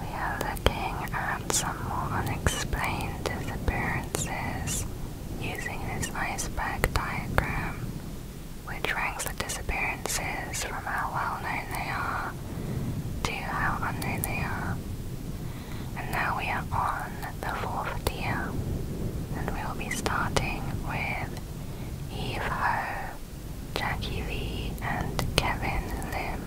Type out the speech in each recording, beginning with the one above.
We are looking at some more unexplained disappearances using this iceberg diagram, which ranks the disappearances from how well known they are to how unknown they are. And now we are on the fourth tier, and we will be starting with Eve Ho. Jackie Lee and Kevin Lim.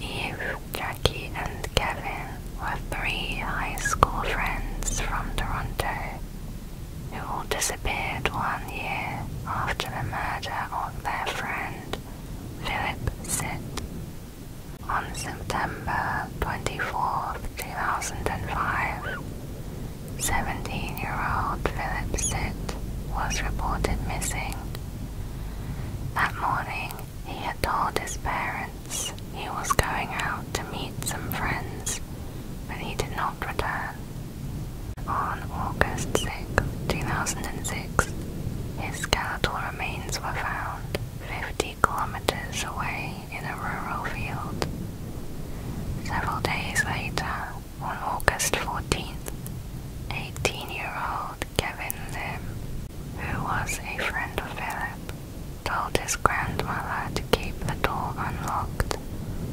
Eve, Jackie and Kevin were three high school friends from Toronto who all disappeared one year after the murder of their friend Philip Sitt. On September 24, 2005, 17-year-old Philip Sitt was reported missing that morning, he had told his parents he was going out to meet some friends, but he did not return. On August 6, 2006, his skeletal remains were found 50 kilometers away in a rural field. Several days later, on August 14th, 18-year-old Kevin Lim, who was a friend of Philip, told his grandmother to keep the door unlocked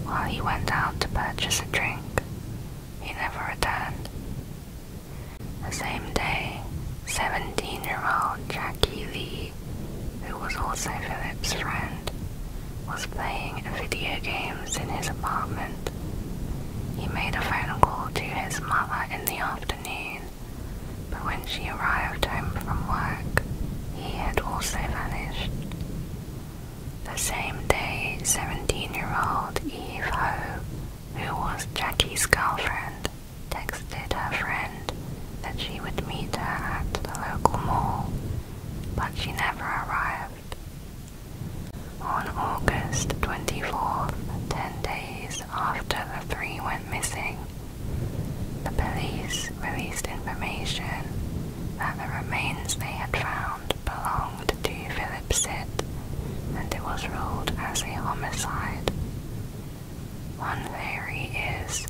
while he went out to purchase a drink. He never returned. The same day, 17-year-old Jackie Lee, who was also Philip's friend, was playing a video game in his apartment. He made a phone call to his mother in the afternoon, but when she arrived home from work, he had also vanished. The same day, 17-year-old Eve Ho, who was Jackie's girlfriend, texted her friend that she would meet her at the local mall, but she never arrived. On August 24th, ten days after the three went missing, the police released information that the remains they had found belonged to Philip Sitt and it was ruled as a homicide. One theory is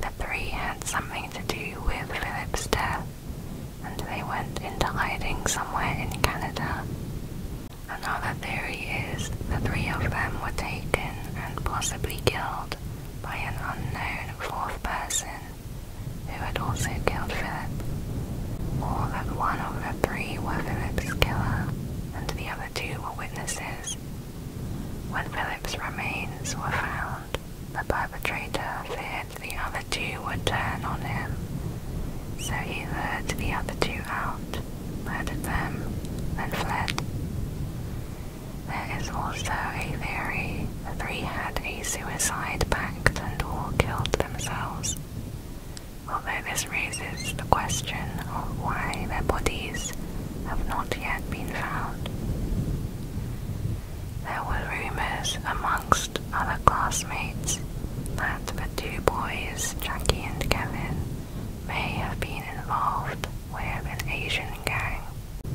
the three had something to do with Philip's death and they went into hiding somewhere in Canada. Another theory is the three of them were taken and possibly killed by an unknown fourth person who had also killed Philip, or that one of the three were Philip's killer and the other two were witnesses. When Philip's remains were found, the perpetrator feared the other two would turn on him, so he lured the other two out, murdered them, and fled. There is also a theory the three had a suicide pact and all killed themselves, although this raises the question of why their bodies have not yet been found. There were rumors amongst other classmates but the two boys, Jackie and Kevin, may have been involved with an Asian gang.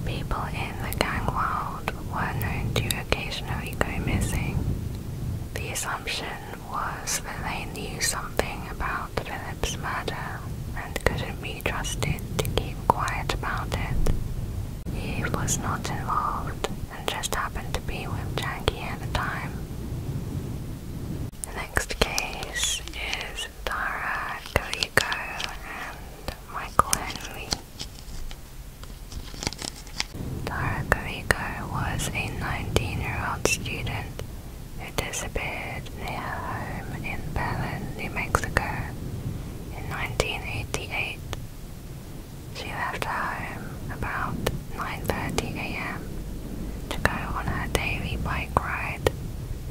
People in the gang world were known to occasionally go missing. The assumption was that they knew something about Philip's murder and couldn't be trusted to keep quiet about it. He was not involved and just happened to be with Jackie at the time. The next case is Dara Galico and Michael Henley. Dara Galico was a 19-year-old student who disappeared near her home in Berlin, New Mexico in 1988. She left home about 9.30 am to go on her daily bike ride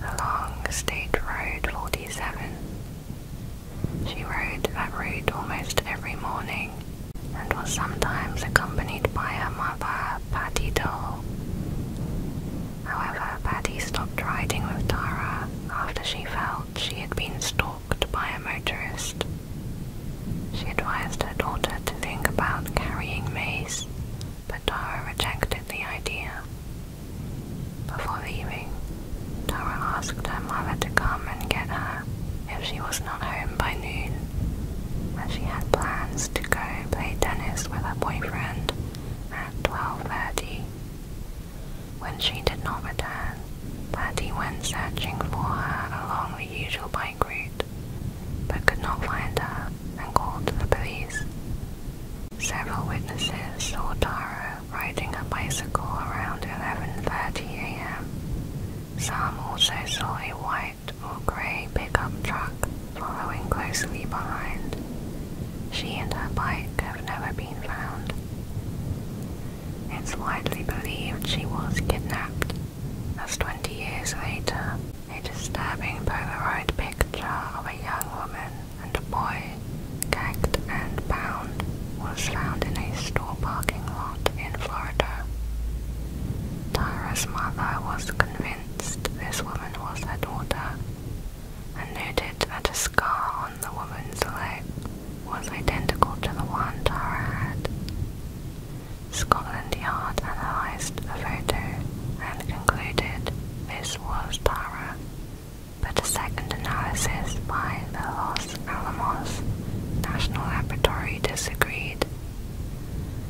along State Road 47. She rode that route almost every morning and was sometimes accompanied by her mother, Patty Doll. However, Patty stopped riding with Tara after she felt she had been stalked by a motorist. She advised her daughter to think about carrying mace, but Tara rejected the idea. Before leaving, Tara asked her mother to come and get her if she was not home by noon, as she had plans to go play tennis with her boyfriend at 12.30. When she did not return, Paddy went searching for her along the usual bike route, but could not find her and called the police. Several witnesses saw Tara riding a bicycle around 11.30 a.m. Some also saw a white or grey pickup truck following closely behind. She and her bike have never been found. It's widely believed she was kidnapped, as 20 years later, a disturbing Polaroid picture of a young woman and a boy, gagged and bound, was found in a store parking lot in Florida. Tyra's mother was convinced this woman was her daughter and noted that a scar on the woman's leg was identical to the one Tara had. Scotland Yard analysed the photo and concluded this was Tara, but a second analysis by the Los Alamos National Laboratory disagreed.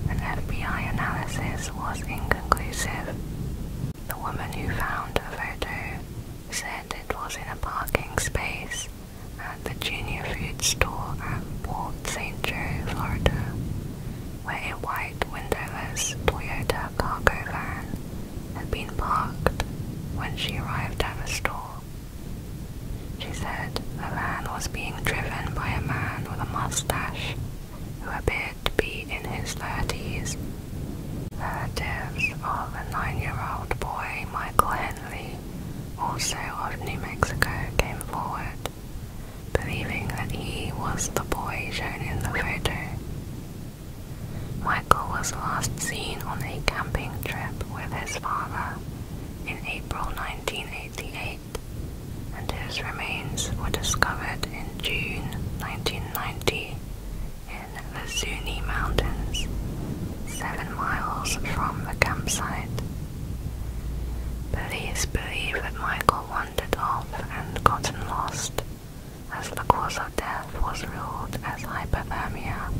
An FBI analysis was inconclusive. The woman who found the photo said it was in a parking space at the Junior Food Store at Port St. Joe, Florida, where a white windowless Toyota cargo van had been parked when she arrived at the store. She said the van was being driven by a man with a mustache who appeared to be in his 30s. Relatives of the nine-year-old boy Michael Henley also of New Mexico, came forward, believing that he was the boy shown in the photo. Michael was last seen on a camping trip with his father in April 1988, and his remains were discovered in June 1990 in the Zuni Mountains seven miles from the campsite. Police believe that Michael wandered off and gotten lost. As the cause of death was ruled as hypothermia,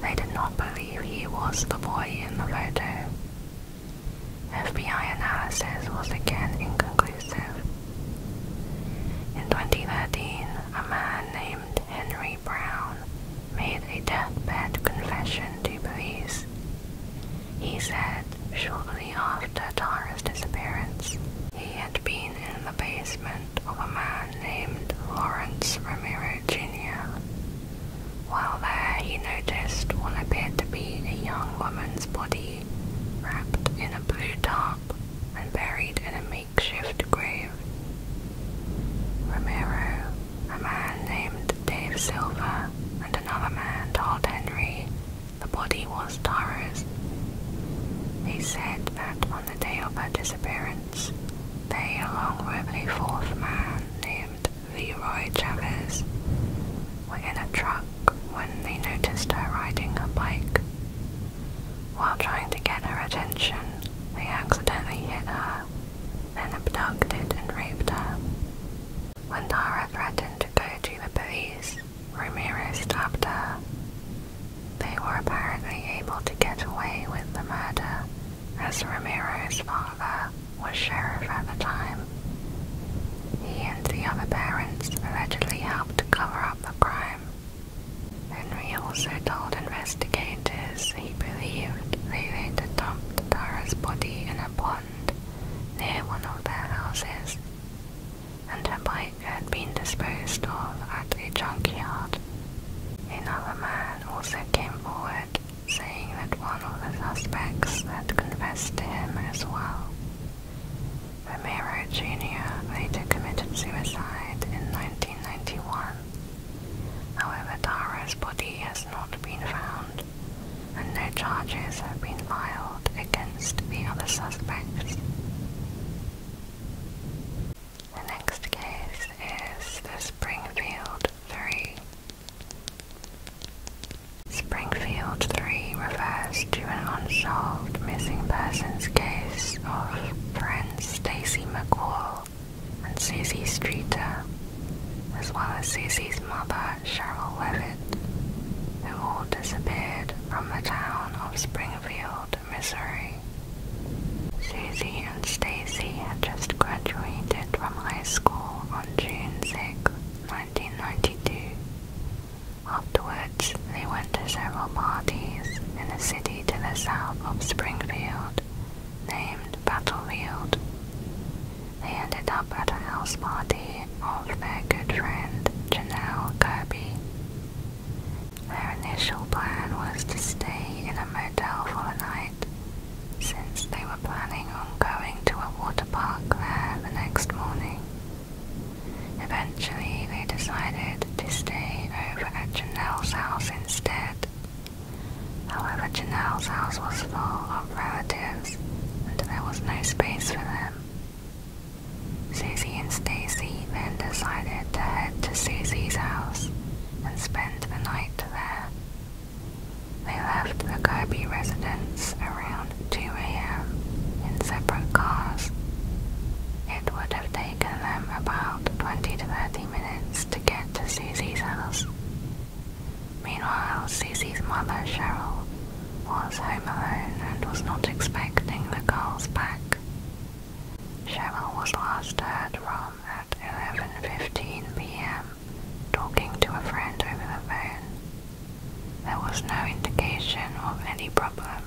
they did not believe he was the boy in the photo. FBI analysis was again inconclusive. In 2013, a man named Henry Brown made a deathbed confession to police. He said shortly after Tara's disappearance, he had been in the basement of a man named Lawrence Romero Jr. While there, he noticed what appeared to be a young woman's body wrapped in a blue tarp and buried in a makeshift grave grave. a man named Dave Silver, and another man told Henry the body was Tara's. They said that on the day of her disappearance, they, along with a fourth man named Leroy Chavez, were in a truck when they noticed her riding a bike. While trying to get her attention, they accidentally hit her, then abducted and raped her. When Tara threatened to go to the police, Ramirez stabbed her. They were apparently able to get away with the murder, as Ramirez's father was sheriff at the time. He and the other parents allegedly helped cover up the crime. Henry also told investigators as he believed, they had dumped Tara's body in a pond near one of their houses, and her bike had been disposed of at a junkyard. Another man also came forward, saying that one of the suspects had confessed to him as well. Romero Jr. later committed suicide in 1991 However, Tara's body has not been found, and no charges have been filed against the other suspects. The next case is the Springfield 3. Springfield 3 refers to an unsolved missing persons case of Prince Stacy McCall and Susie Streeter, as well as Susie's mother Cheryl Levitt, who all disappeared from the town of Springfield, Missouri. Susie and Stacy had just graduated from high school on June 6, 1992. Afterwards, they went to several parties in the city to the south of Springfield named Battlefield. They ended up at a house party of their good friend Janelle Kirby. Their initial plan was to stay in a motel for the night, since they were planning on going to a water park there the next morning. Eventually, they decided to stay over at Janelle's house instead, However, Janelle's house was full of relatives, and there was no space for them. Susie and Stacy then decided to head to Susie's house and spend the night there. They left the Kirby residence around 2 a.m. in separate cars. It would have taken them about 20 to 30 minutes to to get to Susie's house. Meanwhile, Susie's mother, Cheryl, was home alone and was not expecting the girls back. Cheryl was last heard from at 11.15pm, talking to a friend over the phone. There was no indication of any problem.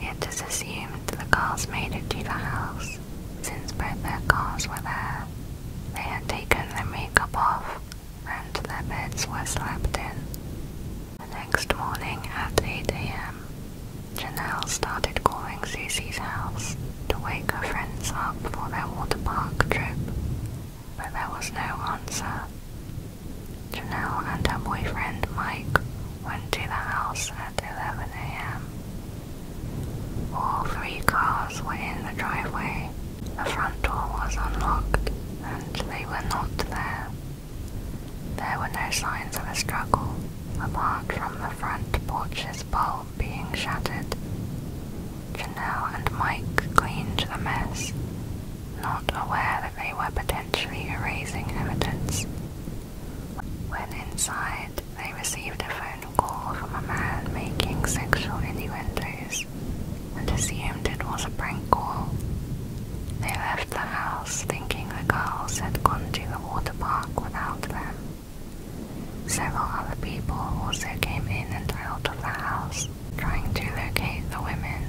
It is assumed the girls made it to the house since both their cars were there, they had taken their makeup off and their beds were slept in. The next morning at 8 a.m., Janelle started calling Susie's house to wake her friends up for their water park trip, but there was no answer. Janelle and her boyfriend Mike went to the house at 11 a.m. All three cars were in the driveway. The front door was unlocked, and they were not there. There were no signs of a struggle, apart from the front porch's bulb being shattered. Janelle and Mike cleaned the mess, not aware that they were potentially erasing evidence. When inside, they received a phone call from a man making sexual innuendos and assumed it was a prank call. They left the house thinking the girls had gone to the water park without them. Several other people also came in and out of the house trying to locate the women.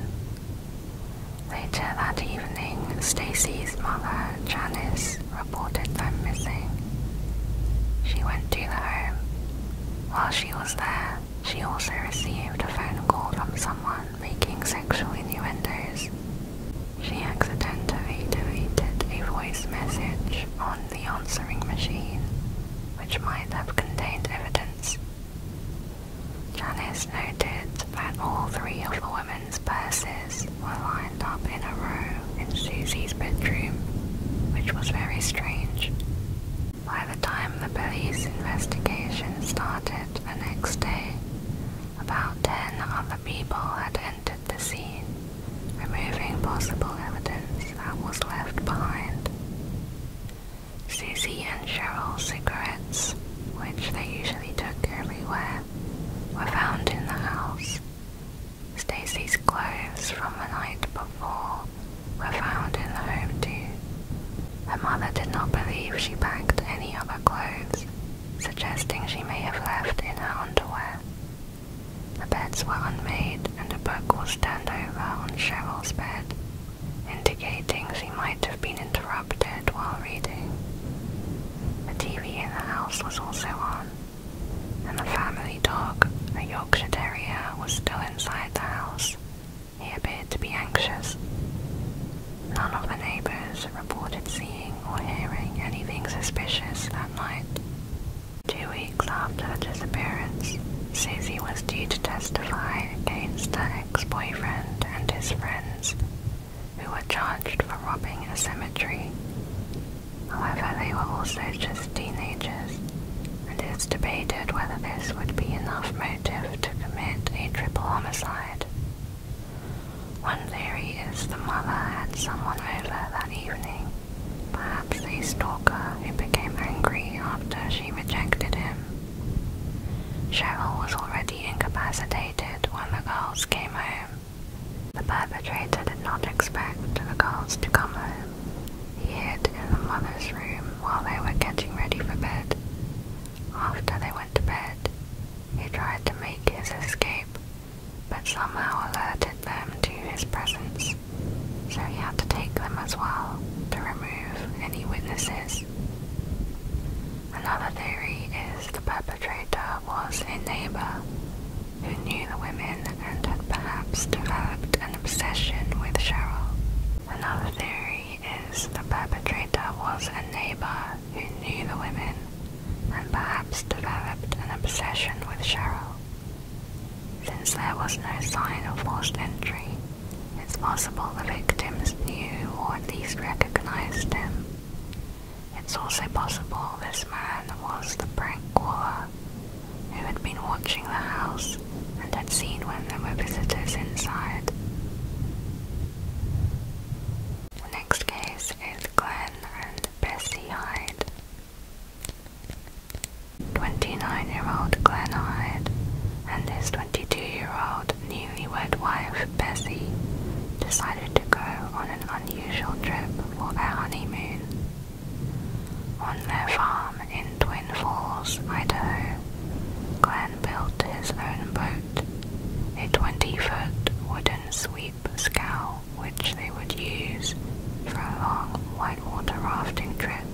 Later that evening, Stacy's mother, Janice, reported them missing. She went to the home. While she was there, she also received a phone call from someone making sexual innuendos. She accidentally deleted a voice message on the answering machine, which might have contained evidence. Janice noted that all three of the women's purses books were lined up in a row in Susie's bedroom, which was very strange. By the time the police investigation started the next day, about ten other people had entered the scene, removing possible evidence that was left behind. Susie and Cheryl's cigarettes, which they usually took everywhere, were found in the house, Stacy's clothes from the night before were found in the home too. Her mother did not believe she packed any of her clothes, suggesting she may have left in her underwear. The beds were unmade and a book was turned over on Cheryl's bed, indicating she might have been interrupted while reading. The TV in the house was also on, and the family dog, a Yorkshire Terrier, was still inside the house. He appeared to be anxious. None of the neighbors reported seeing or hearing anything suspicious that night. Two weeks after the disappearance, Susie was due to testify against her ex-boyfriend and his friends, who were charged for robbing a cemetery. However, oh, they were also just teenagers, and it's debated whether this would be enough motive to commit a triple homicide. One theory is the mother had someone over that evening, perhaps a stalker who became angry after she rejected him. Cheryl was already incapacitated when the girls came home. The perpetrator did not expect the girls to come home. He hid in the mother's room while they were getting ready for bed. After they went to bed, he tried to make his escape, but somehow alerted them to his presence, so he had to take them as well to remove any witnesses. Another theory is the perpetrator was a neighbor who knew the women and had perhaps developed an obsession with Cheryl. Another theory is the perpetrator was a neighbor who knew the women and perhaps developed an obsession with Cheryl. Since there was no sign of forced entry, it's possible the victims knew or at least recognized him. It's also possible this man was the prank caller who had been watching the house and had seen when there were visitors inside. next case is Glenn and Bessie Hyde. 29 year old Glenn Hyde and his 22 year old newlywed wife Bessie decided to go on an unusual trip for their honeymoon. On their farm in Twin Falls, Idaho, Glenn built his own boat, a 20 foot wooden sweep scow which they would use for a long whitewater rafting trip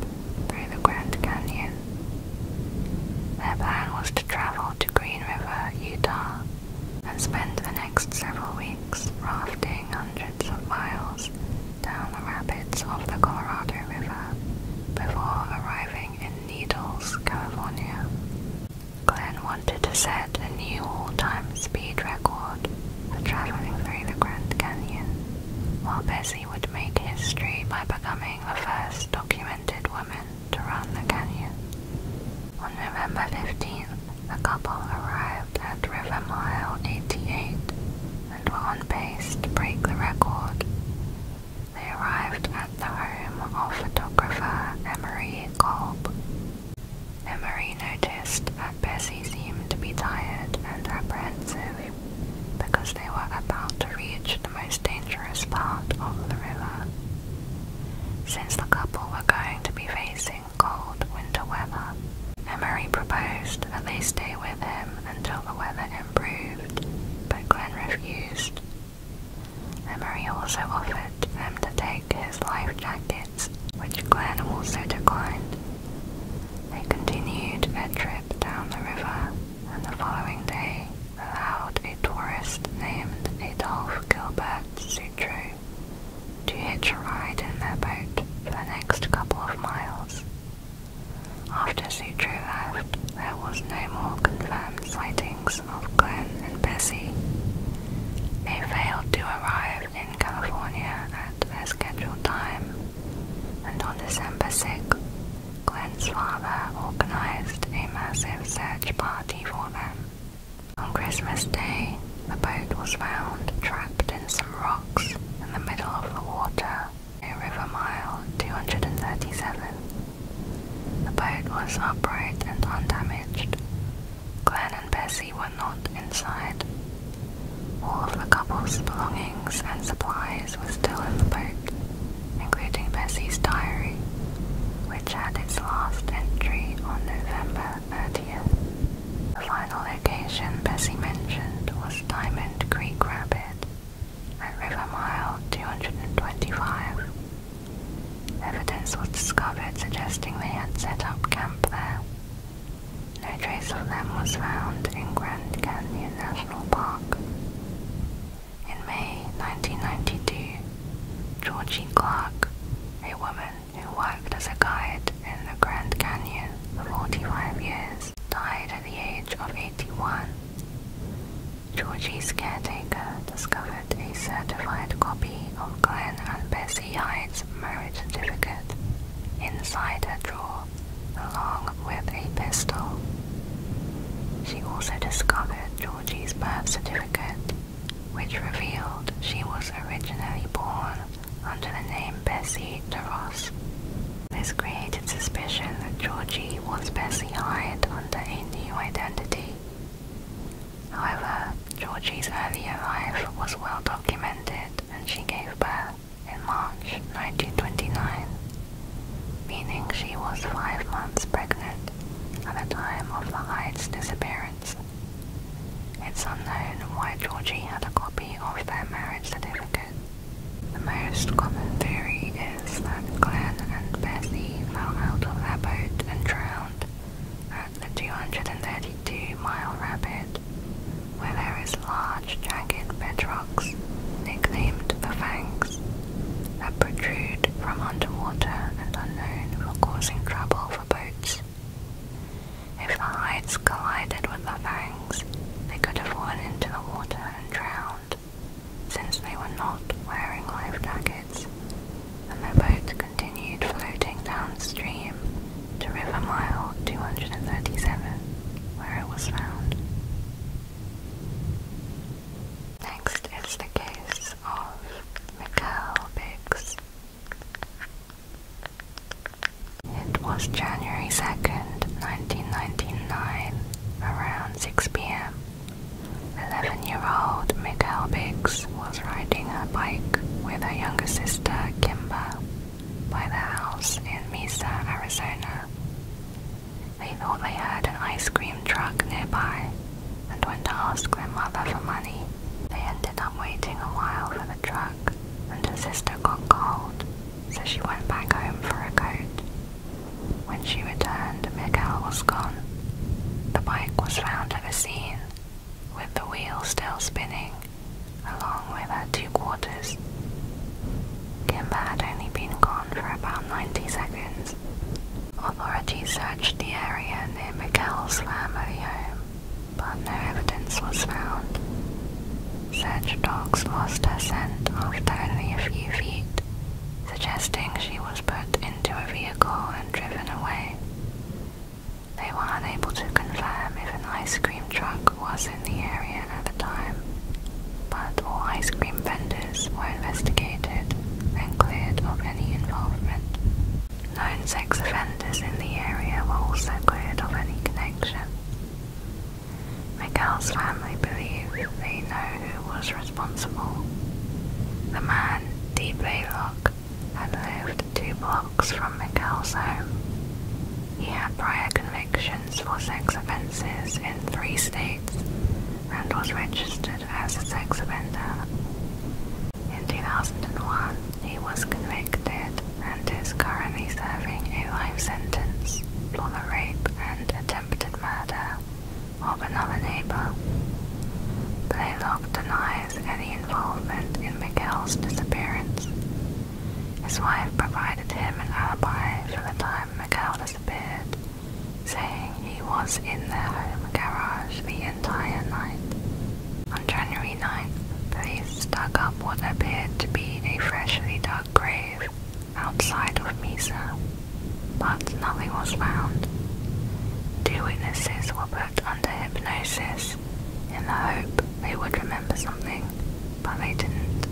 through the Grand Canyon. Their plan was to travel to Green River, Utah, and spend the next several weeks rafting hundreds of miles down the rapids of the Colorado River before arriving in Needles, California. Glenn wanted to set a new all-time speed record for traveling through the Grand Canyon, while Bessie would make history by becoming the first documented woman to run the canyon. On November 15th, the couple arrived at River Mile 88 and were on pace to break the record. They arrived at the home of photographer Emery Kolb. Emery noticed that Bessie seemed to be tired and apprehensive because they were about to reach the most dangerous part of the river. Since the couple were going to be racing during cold winter weather. Emery proposed that they stay with him until the weather improved, but Glenn refused. Emery also offered them to take his life jackets, which Glenn also declined. They continued their trip down the river, and the following day allowed a tourist named Adolf Gilbert Sutro to hitch a ride in their boat for the next couple of miles. After drew out, there was no more confirmed sightings of Glenn and Bessie. They failed to arrive in California at their scheduled time, and on December 6th, Glenn's father organized a massive search party for them. On Christmas Day, the boat was found trapped in some rocks in the middle of the water near River Mile 237. The boat was upright and undamaged. Glen and Bessie were not inside. All of the couple's belongings and supplies were still in the boat, including Bessie's diary, which had its last entry on November the final location Bessie mentioned was Diamond Creek Rapid at River Mile 225. Evidence was discovered suggesting they had set up camp there. No trace of them was found in Grand Canyon National Park. In May 1992, Georgie Clark, a woman who worked as a guide in the Grand Canyon for 45 years died at the age of 81. Georgie's caretaker discovered a certified copy of Glenn and Bessie Hyde's marriage certificate inside a drawer, along with a pistol. She also discovered Georgie's birth certificate, which revealed she was originally born under the name Bessie DeRoss. This created suspicion that Georgie was Bessie Hyde under a new identity. However, Georgie's earlier life was well documented and she gave birth in March 1929, meaning she was five months pregnant at the time of the Hyde's disappearance. It's unknown why Georgie had a copy of their marriage certificate. The most common theory is that Glenn and Bessie fell out of their boat and drowned at the 232-mile rapid, where there is large jagged bedrocks, nicknamed the Fangs, that protrude from underwater and are known for causing trouble for boats. If the hides collided with the fangs, they could have fallen into the water and drowned, since they were not wearing life jackets, and their boat continued floating downstream to River Mile 237, where it was found. Next is the case of Michael Biggs. It was January 2nd, 1999, around 6 pm. 11 year old Mikael Biggs was riding a bike with her younger sister Kimber by the house in Mesa, Arizona. They thought they heard an ice cream truck nearby and went to ask their mother for money. They ended up waiting a while for the truck, and her sister got cold, so she went back home for a coat. When she returned, Miguel was gone. The bike was found at the scene, with the wheel still spinning, along with her two quarters. Kimber had only been gone for about 90 seconds. Authorities searched the area near Miguel's family home but no evidence was found. Search dogs lost her scent after only a few feet, suggesting she was put into a vehicle and driven away. They were unable to confirm if an ice cream truck was in the area at the time, but all ice cream vendors were investigated and cleared of any involvement. Known sex offenders in the area were also cleared of any connection. Miguel's family believe they know who was responsible. The man, D. Blaylock, had lived two blocks from Miguel's home. He had prior convictions for sex offences in three states and was registered as a sex offender. In 2001, he was convicted and is currently serving a life sentence for the rape and attempted murder of another neighbor. Blaylock denies any involvement in Miguel's disappearance. His wife provided him an alibi for the time Miguel disappeared, saying he was in their home garage on January 9th, police dug up what appeared to be a freshly dug grave outside of Mesa, but nothing was found. Two witnesses were put under hypnosis in the hope they would remember something, but they didn't.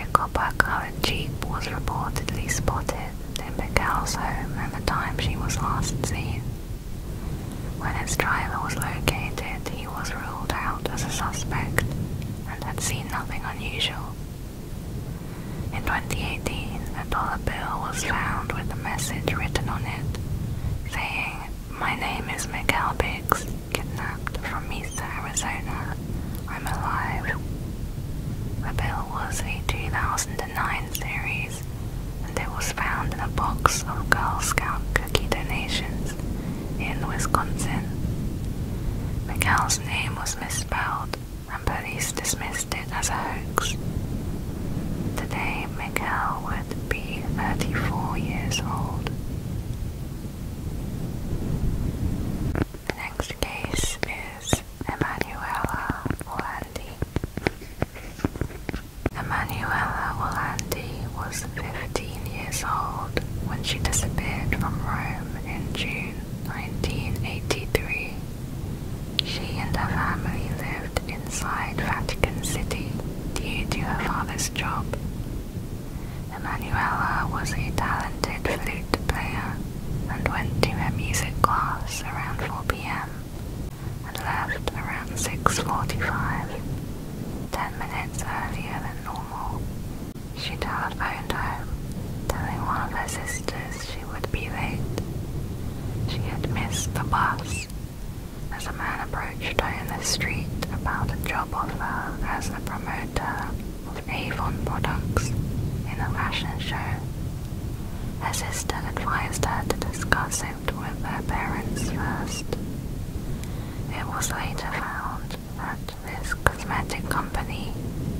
A copper-colored jeep was reportedly spotted in Miguel's home at the time she was last seen, when his trailer was located, he was ruled out as a suspect and had seen nothing unusual. In 2018, a dollar bill was found with a message written on it saying, My name is Miguel Biggs, kidnapped from Mesa, Arizona. I'm alive. The bill was a 2009 series and it was found in a box of Girl Scout cookie donations in Wisconsin. McCall's name was misspelled, and police dismissed it as a hoax. Today, Miguel would be 34 years old. The next case is Emanuela Olandi. Emanuela Orlandi was 15 years old when she disappeared from Rome in June 1983. She and her family lived inside Vatican City due to her father's job. Emanuela was a talented flute player and went to a music class around 4 pm and left around 6.45, 10 minutes earlier than normal. She telephoned home, telling one of her sisters she would be late. She had missed the bus as a man approached her in the street about a job offer as a promoter of Avon products in a fashion show. Her sister advised her to discuss it with their parents first. It was later found that this cosmetic company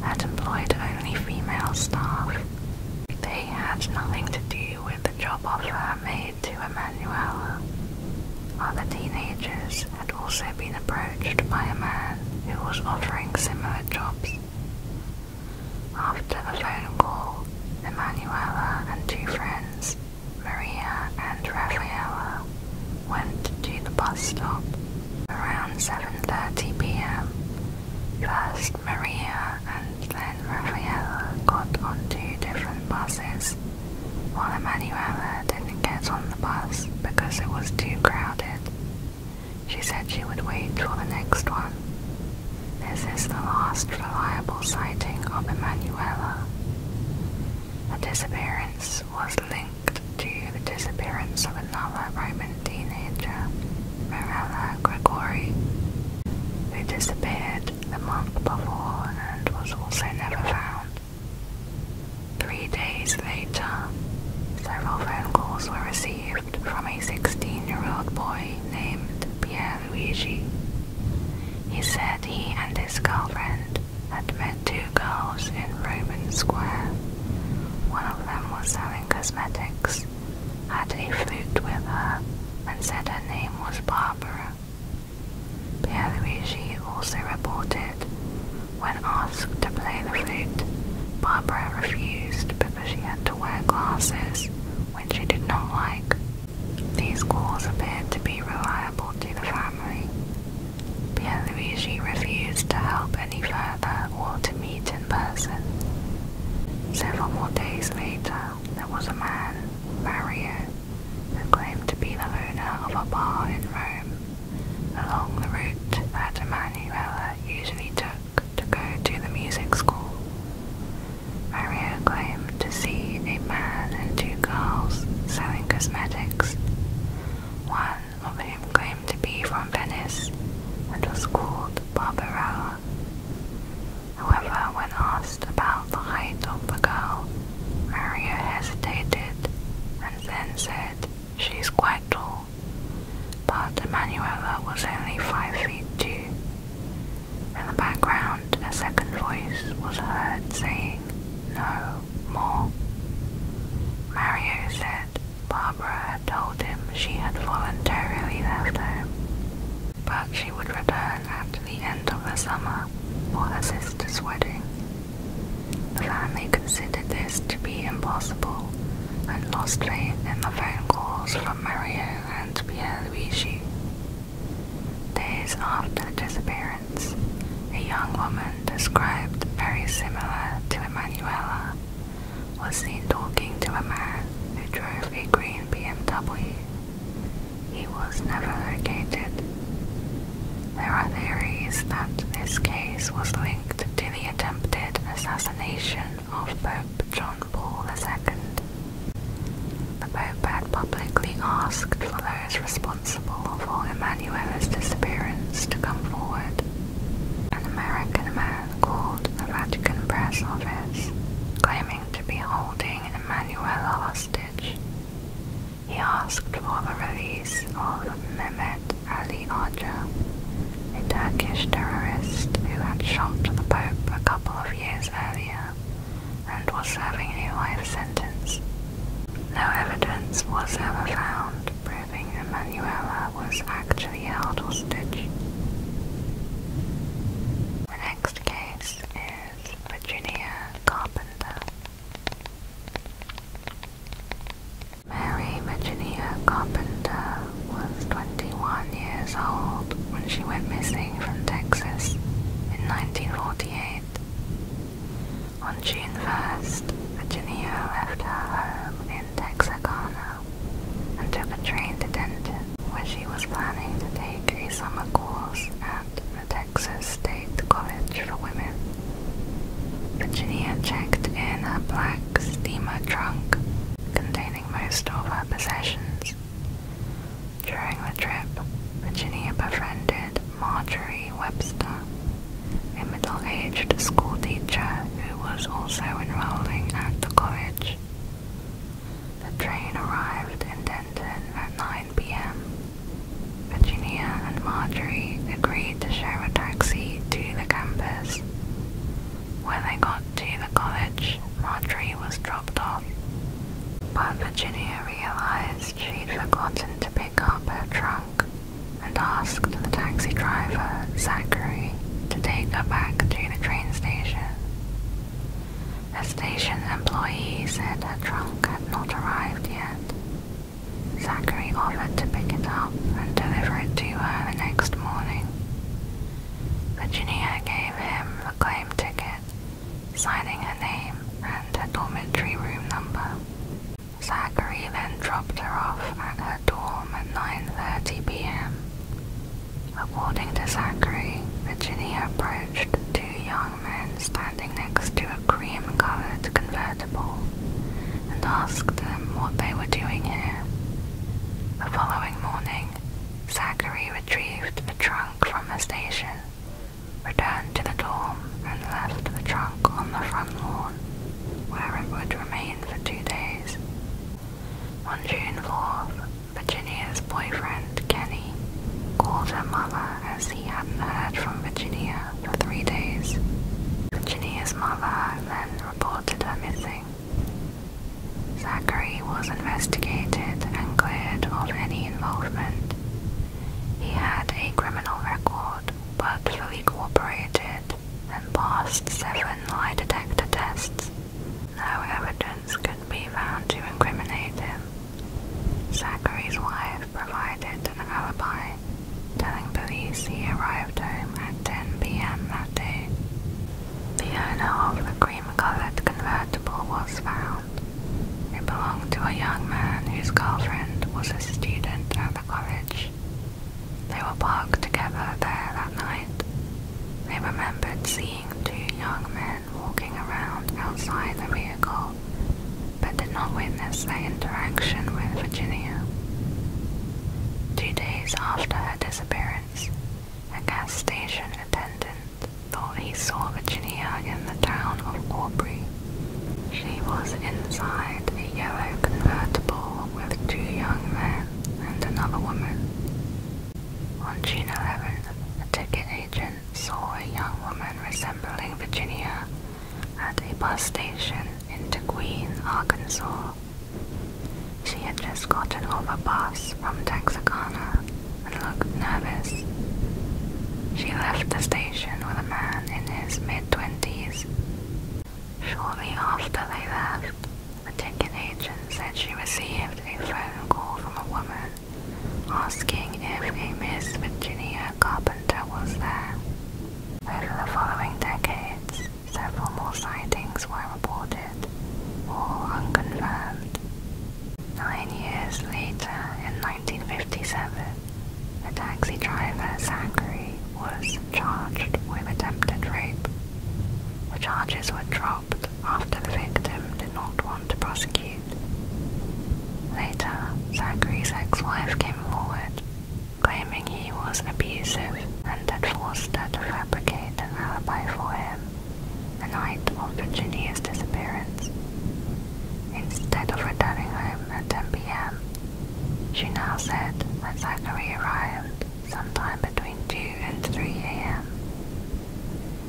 had employed only female staff. They had nothing to do with the job offer made to Emanuela. Other teenagers had also been approached by a man who was offering similar jobs. After a phone call, Emanuela and two friends Maria and Rafaela went to the bus stop around 7.30 pm. First Maria and then Rafaela got on two different buses, while Emanuela didn't get on the bus because it was too crowded. She said she would wait for the next one. This is the last reliable sighting of Emanuela. Her disappearance was linked to the disappearance of another Roman teenager, Mirella Gregori, who disappeared the month before and was also never found. Three days later, several phone calls were received from a 16-year-old boy named Pierre Luigi. He said he and his girlfriend had met two girls in Roman Square. One of them was selling cosmetics, had a flute with her, and said her name was Barbara. Pierluigi also reported, when asked to play the flute, Barbara refused because she had to wear glasses, which she did not like, these calls appeared to be reliable to the family. Pierluigi refused to help any further or to meet in person. Several more days later, there was a man, Mario, who claimed to be the owner of a bar in Rome, along the route that Emanuela usually took to go to the music school. Maria claimed to see a man and two girls selling cosmetics. One of them claimed to be from Venice and was called Barbarella. However, when asked about the height of the girl, Maria hesitated and then said, She's quite tall. But Emmanuela was only five feet two, in the background, a second voice was heard saying, No more. Mario said Barbara had told him she had voluntarily left home, but she would return at the end of the summer for her sister's wedding. The family considered this to be impossible and lost faith in the phone calls from Mario and Pierluigi. Days after the disappearance, a young woman described very similar to Emanuela was seen talking to a man who drove a green BMW. He was never located. There are theories that this case was linked to the attempted assassination of Pope John Paul II. The Pope had publicly asked for those responsible for Emmanuela's disappearance to come forward. An American man called the Vatican Press Office, claiming to be holding Emanuela hostage. He asked for the release of Mehmet Ali Arca, a Turkish terrorist who had shot the Pope a couple of years earlier and was serving a life sentence. No evidence was ever found proving Emanuela was actually held hostage. The next case is Virginia Carpenter. Mary Virginia Carpenter was 21 years old when she went missing from Texas in 1948. On June 1st, Virginia left her home in Texarkana and took a train to Denton, where she was planning to take a summer course at the Texas State College for Women. Virginia checked in her black steamer trunk containing most of her possessions. During the trip, Virginia befriended Marjorie Webster, a middle-aged school teacher who was also enrolling at the college. The train arrived in Denton at 9 p.m. Virginia and Marjorie agreed to share a taxi to the campus. When they got to the college, Marjorie was dropped off. But Virginia realized she'd forgotten to pick up her trunk and asked the taxi driver, Zachary, to take her back to the train station. A station employee said her trunk had not arrived yet. Zachary offered to pick it up and deliver it to her the next morning. Virginia gave him a claim ticket signing her name and her dormitory room number. Zachary then dropped her off at her dorm at 9.30 p.m. According to Zachary, Virginia approached two young men standing next to a cream-colored convertible and asked them what they were doing here. The following morning, Zachary retrieved a trunk from the station returned to the dorm, and left the trunk on the front lawn, where it would remain for two days. On June 4th, Virginia's boyfriend, Kenny, called her mother as he hadn't heard from Virginia for three days. Virginia's mother then reported her missing. Zachary he was investigated and cleared of any involvement. He had a criminal record, but fully cooperated and passed seven lie detector tests. No evidence could be found to incriminate him. Zachary's wife provided an alibi, telling police he arrived home at 10 p.m. that day. The owner of the cream-colored convertible was found. It belonged to a young man whose girlfriend was a student at the college. They were parked together there that night. They remembered seeing two young men walking around outside the vehicle, but did not witness their interaction with Virginia. Two days after her disappearance, a gas station attendant thought he saw Virginia in the town of Aubrey. She was inside a yellow convertible with two young men and another woman. On June 11th, a ticket agent saw a young woman resembling Virginia at a bus station in Queen, Arkansas. She had just gotten off a bus from Texarkana and looked nervous. She left the station with a man in his mid twenties. Shortly after they left, the ticket agent said she received a phone call from a woman asking if a Miss Virginia Carpenter was there. Over the following decades, several more sightings were reported, all unconfirmed. Nine years later, in 1957, a taxi driver, Zachary, was charged with attempted rape. The charges were dropped after the victim did not want to prosecute. Later, Zachary's ex-wife came forward, claiming he was abusive and had forced her to fabricate an alibi for him the night of Virginia's disappearance. Instead of returning home at 10 p.m., she now said that Zachary arrived sometime between 2 and 3 a.m.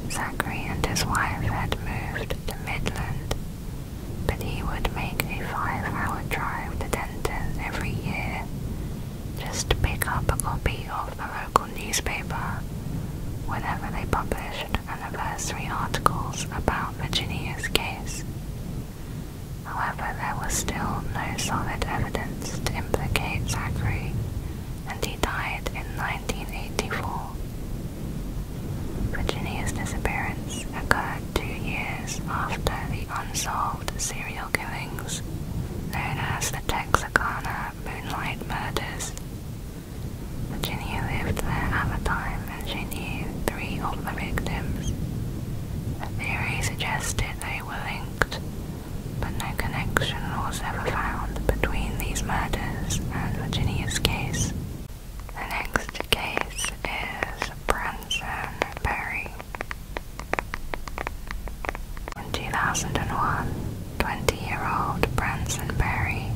Zachary and his wife had moved to Midland, but he would make a five-hour drive to Denton every year just to pick up a copy of the local newspaper whenever they published anniversary articles about Virginia's case. However, there was still no solid evidence to implicate Zachary, and he died in 1984. Virginia's disappearance occurred two years after the unsolved serial killings known as the Texarkana Moonlight Murders Virginia lived there at the time and she knew three of the victims. A theory suggested they were linked, but no connection was ever found between these murders and Virginia's case. The next case is Branson Berry. In 2001, 20-year-old Branson Berry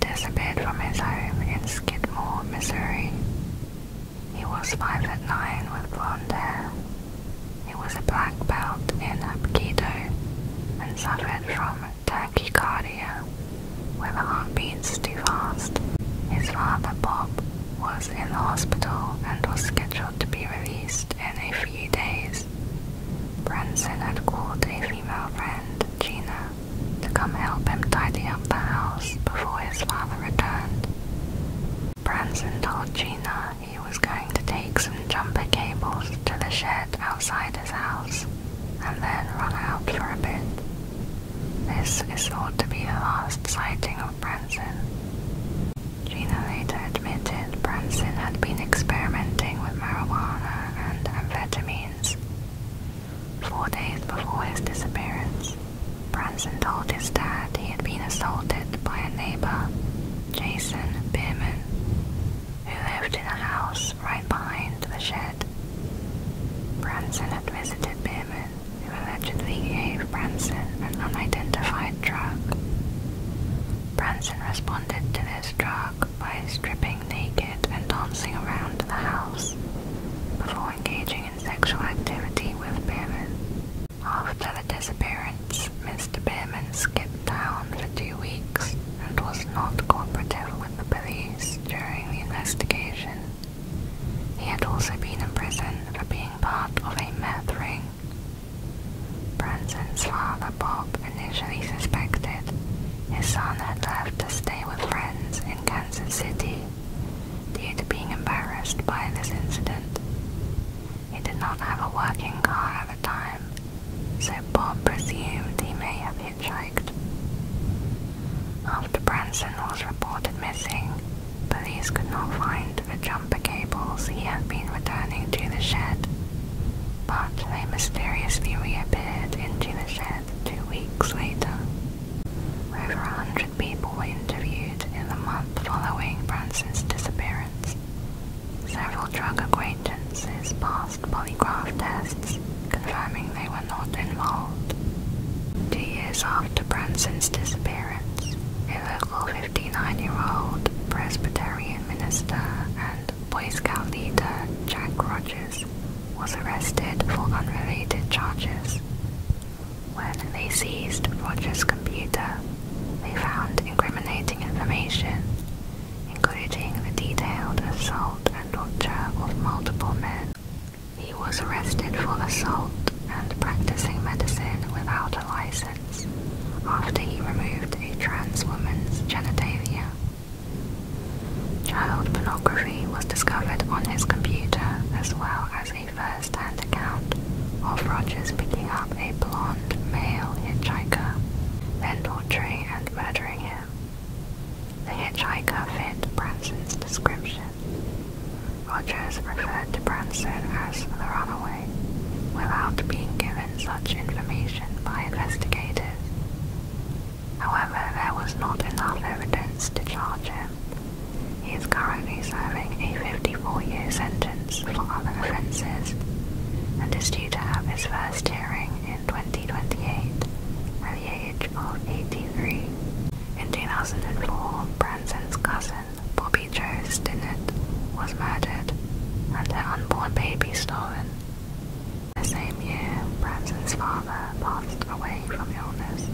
disappeared from his home in Skidmore, Missouri. He was five foot nine with blonde hair. He was a black belt in Aikido and suffered from tachycardia, where the heart beats too fast. His father, Bob, was in the hospital and was scheduled to be released in a few days. Branson had called a female friend, Gina, to come help him tidy up the house before his father returned. Branson told Gina he was going to take some jumper cables to the shed outside his house and then run out for a bit. This is thought to be the last sighting of Branson. Gina later admitted Branson had been experimenting with marijuana and amphetamines. Four days before his disappearance, Branson told his dad he had been assaulted by a neighbor, Jason Bierman, who lived in a house right behind the shed. Branson had visited Bierman, who allegedly gave Branson an unidentified drug. Branson responded to this drug by stripping naked and dancing around the house before engaging in sexual activity with Behrman. After the disappearance, Mr. Behrman skipped town for two weeks and was not cooperative with the police during the investigation. He had also been in prison for being part of a meth ring. Branson's father, Bob, initially suspected, his son had left to stay with friends in Kansas City due to being embarrassed by this incident. He did not have a working car at the time, so Bob presumed he may have hitchhiked. After Branson was reported missing, police could not find the jumper cables he had been returning to the shed but they mysteriously reappeared into the shed two weeks later. Over a hundred people were interviewed in the month following Branson's disappearance. Several drug acquaintances passed polygraph tests, confirming they were not involved. Two years after Branson's disappearance, a local 59-year-old Presbyterian minister and Boy Scout leader Jack Rogers was arrested for unrelated charges. When they seized Rogers' computer, they found incriminating information, including the detailed assault and torture of multiple men. He was arrested for assault and practicing medicine without a license after he removed a trans woman's genitalia Child pornography was discovered on his computer as well as a first hand account of Rogers picking up a blonde male hitchhiker, then torturing and murdering him. The hitchhiker fit Branson's description. Rogers referred to Branson as the runaway without being given such information by investigators. However, there was not enough evidence to charge him. He is currently serving a 54-year sentence for other offences and is due to have his first hearing in 2028 at the age of 83. In 2004, Branson's cousin, Bobby Joe Stinnett, was murdered and her unborn baby stolen. The same year, Branson's father passed away from illness.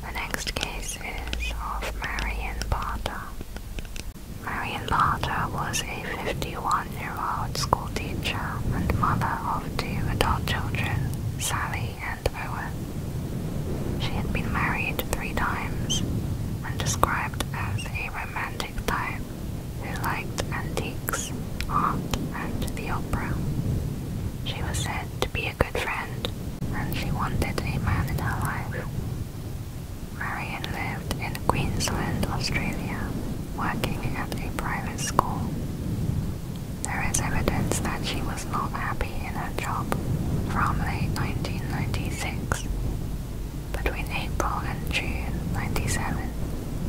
The next case is of Marion Potter. Marion Potter was a 51-year-old school teacher and mother of two adult children, Sally and Owen. She had been married three times and described as a romantic type who liked antiques, art, and the opera. She was said to be a good friend, and she wanted a man in her life. Marion lived in Queensland, Australia, working at a private school. There is evidence that she was not happy in her job from late 1996 between April and June 1997,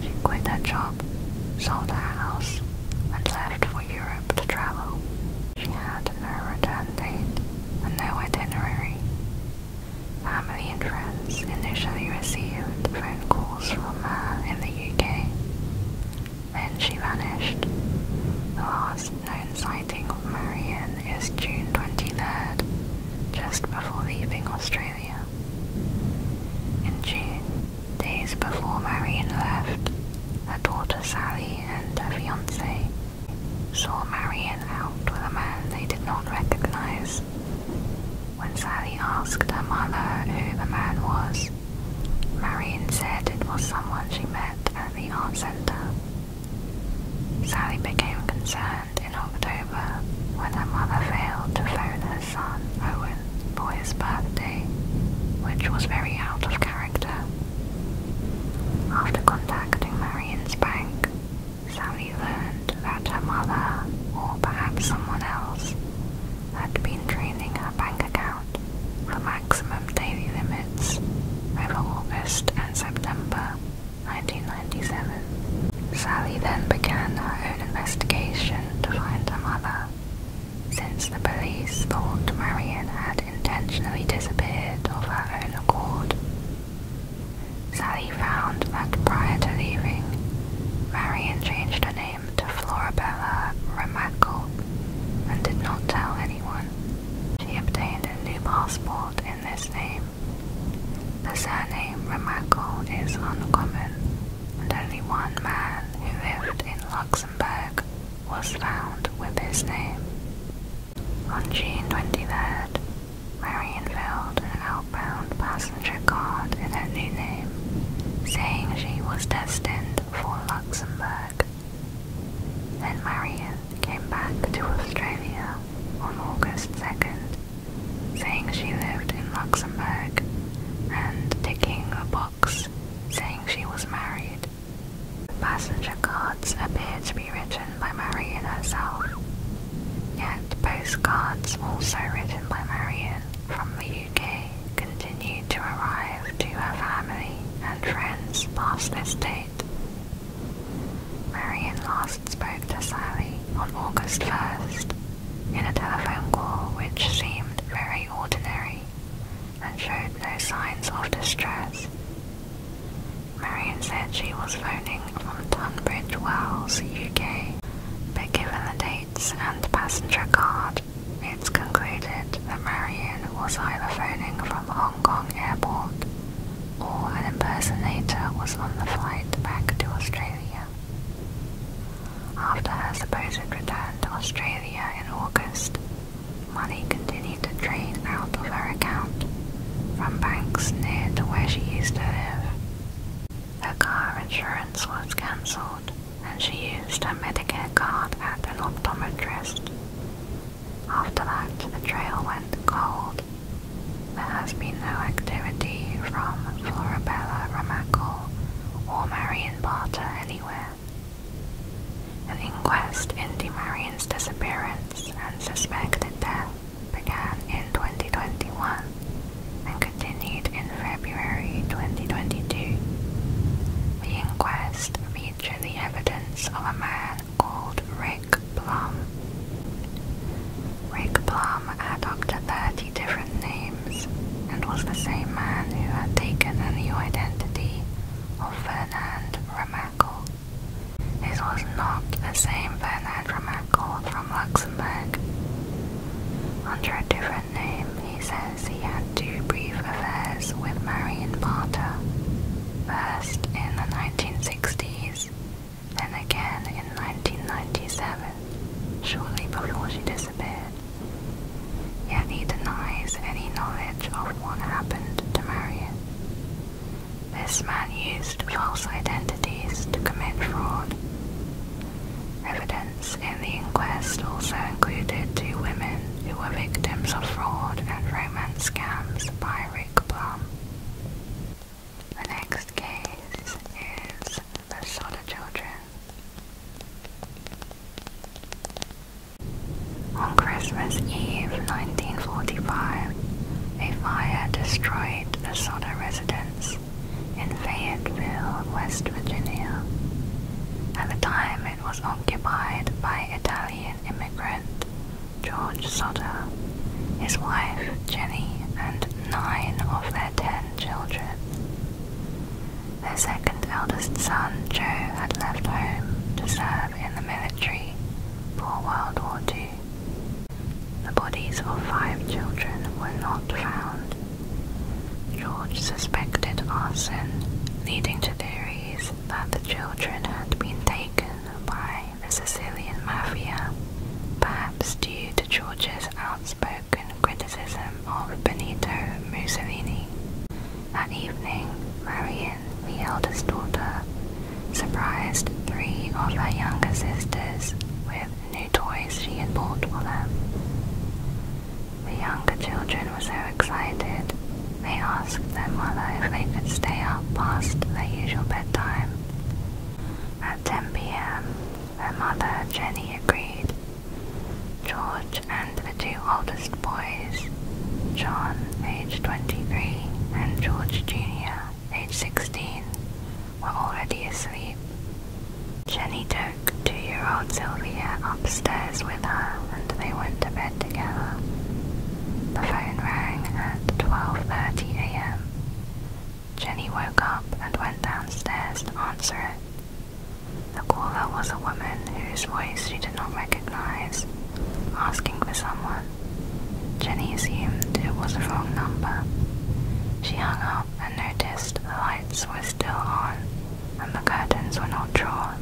she quit that job, sold her house, and left for Europe to travel. She had no return date and no itinerary. Family and friends initially received phone calls from her in the UK. Then she vanished. The last known sign sighting Marion is June 23rd, just before leaving Australia. In June, days before Marion left, her daughter Sally and her fiancé saw Marion out with a man they did not recognize. When Sally asked her mother who the man was, Marion said it was someone she met at the art center Sally became concerned in October when her mother failed to phone her son, Owen, for his birthday, which was very out of character. After contacting Marion's bank, Sally learned that her mother, or perhaps someone else, had been draining her bank account for maximum daily limits over August and September 1997. Sally then began her own investigation to find her mother, since the police thought Marion had intentionally disappeared of her own accord. Sally found that prior to leaving, Marion changed her name to Florabella Ramacle and did not tell anyone. She obtained a new passport in this name. The surname Remacle is uncommon, and only one man who lived in Luxembourg was found with his name. On June 23rd, Marion an outbound passenger card in her new name, saying she was destined for Luxembourg. Then Marion came back to Australia on August 2nd, saying she lived in Luxembourg and ticking a box saying she was married. passenger cards appeared to be written by Marion herself, yet postcards also written by Marion from the UK continued to arrive to her family and friends past this date, Marian last spoke to Sally on August 1st in a telephone call which seemed very ordinary and showed no signs of distress. Marian said she was phoning from Tunbridge Wells, UK, but given the dates and passenger card, it's concluded that Marian was either phoning from Hong Kong Airport or an impersonator was on the flight back to Australia. After her supposed return to Australia in August, money continued to drain out of her account from banks near to where she used to live. Her car insurance was cancelled and she used her Medicare card at an optometrist. After that, the trail went cold there has been no activity from Florabella Ramacle or Marion Barter anywhere. An inquest into Marion's disappearance and suspected death began in 2021 and continued in February 2022. The inquest featured the evidence of a man called Rick Plum. Rick Plum had up to 30 different names and was the same man who had taken the new identity of Fernand Ramacle. This was not the same Fernand Ramacle from Luxembourg. Under a different name, he says he had two brief affairs with Marion Barter, first in the 1960s then again in 1997, shortly before she disappeared. Yet he denies any knowledge of what happened to Marion. This man used false identities to commit fraud. Evidence in the inquest also included two women who were victims of fraud and romance scams by Rick Blum. The next case is the Soda Children. On Christmas Eve 1945, a fire destroyed the Soda residence in Fayetteville, West Virginia. At the time, it was occupied by Italian immigrants George Sutter, his wife Jenny, and nine of their ten children. Their second eldest son, Joe, had left home to serve in the military for World War II. The bodies of five children were not found. George suspected arson, leading to theories that the children had been taken by the Sicilian mafia, perhaps due to George's outspoken criticism of Benito Mussolini. That evening, Marian, the eldest daughter, surprised three of her younger sisters with new toys she had bought for them. The younger children were so excited, they asked their mother if they could stay up past their usual bedtime at 10 p.m., her mother, Jenny, agreed. George and the two oldest boys, John, age 23, and George Jr., age 16, were already asleep. Jenny took two-year-old Sylvia upstairs with her and they went to bed together. The phone rang at 12.30 a.m. Jenny woke up and went downstairs to answer it. The caller was a woman whose voice she did not recognize, asking for someone. Jenny assumed it was a wrong number. She hung up and noticed the lights were still on and the curtains were not drawn.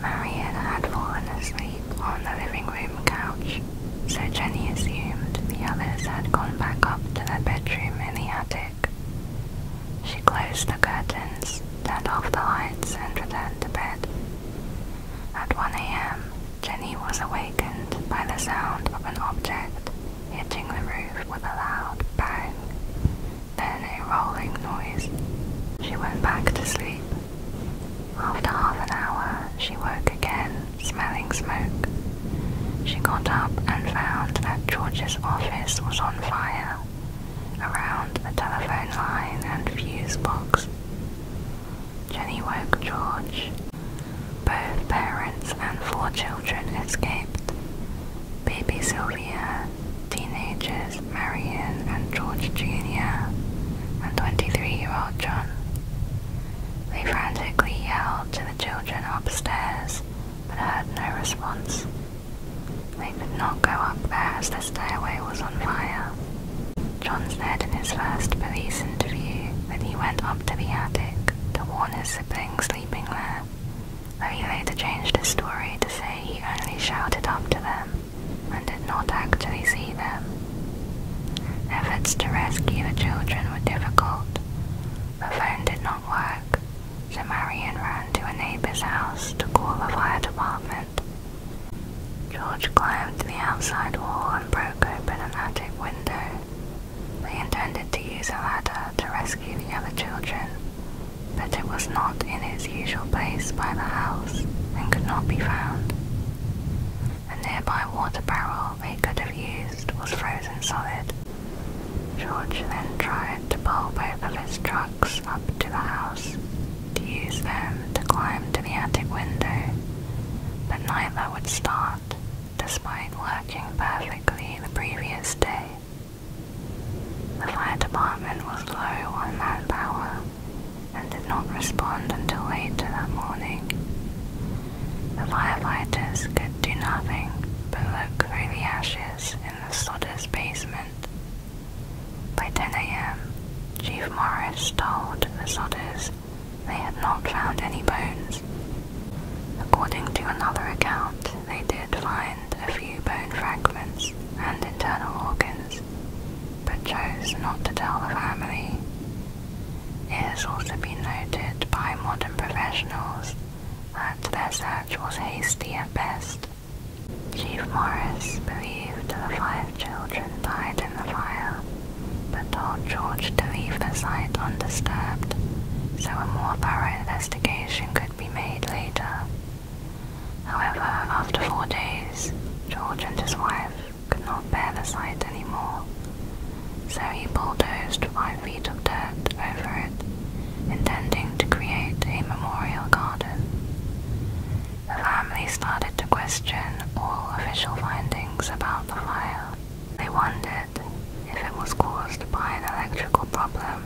Marion had fallen asleep on the living room couch, so Jenny assumed the others had gone back up to their bedroom in the attic. She closed the curtains, turned off the lights, and returned to bed. At 1 a.m., Jenny was awakened by the sound of an object hitting the roof with a loud bang, then a rolling noise. She went back to sleep after half an hour, she woke again, smelling smoke. She got up and found that George's office was on fire, around the telephone line and fuse box. Jenny woke George. Both parents and four children escaped. Baby Sylvia, teenagers Marion and George Jr., and 23 year old John. They frantically yelled to the children upstairs, but heard no response. They could not go up there as the stairway was on fire. John said in his first police interview that he went up to the attic to warn his siblings sleeping there, though he later changed his story to say he only shouted up to them and did not actually see them. Efforts to rescue the children were difficult. The phone did not work, so Marian ran to a neighbor's house to call the fire department. George climbed to the outside wall and broke open an attic window. They intended to use a ladder to rescue the other children, but it was not in its usual place by the house and could not be found. A nearby water barrel they could have used was frozen solid. George then tried to pull both of his trucks up to the house to use them to climb to the attic window, but neither would start, despite working perfectly the previous day. The fire department was low on manpower, and did not respond until late that morning. The firefighters could do nothing but look through the ashes in the Sodder's basement. By 10 a.m., Chief Morris told the Sodders they had not found any bones. According to another account, they did find a few bone fragments and internal organs, but chose not to tell the family. It has also been noted by modern professionals that their search was hasty at best. Chief Morris believed the five children died in the fire, but told George to leave the site undisturbed so a more thorough investigation could be made later. However, after four days, George and his wife could not bear the sight anymore, so he bulldozed five feet of dirt over it, intending to create a memorial garden. The family started to question all official findings about the fire. They wondered if it was caused by an electrical problem.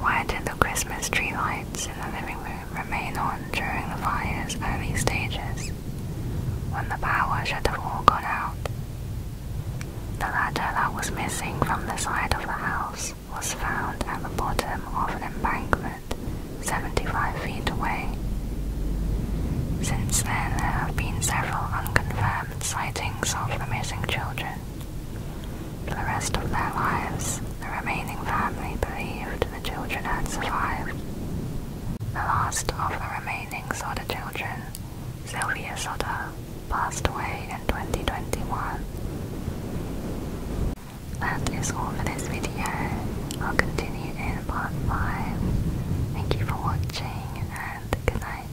Why did the Christmas tree lights in the living room remain on during the fire's early stages? when the power should have all gone out. The ladder that was missing from the side of the house was found at the bottom of an embankment 75 feet away. Since then, there have been several unconfirmed sightings of the missing children. For the rest of their lives, the remaining family believed the children had survived. The last of the remaining Soda children, Sylvia Soda, passed away in 2021. That is all for this video. I'll continue in part 5. Thank you for watching and good night.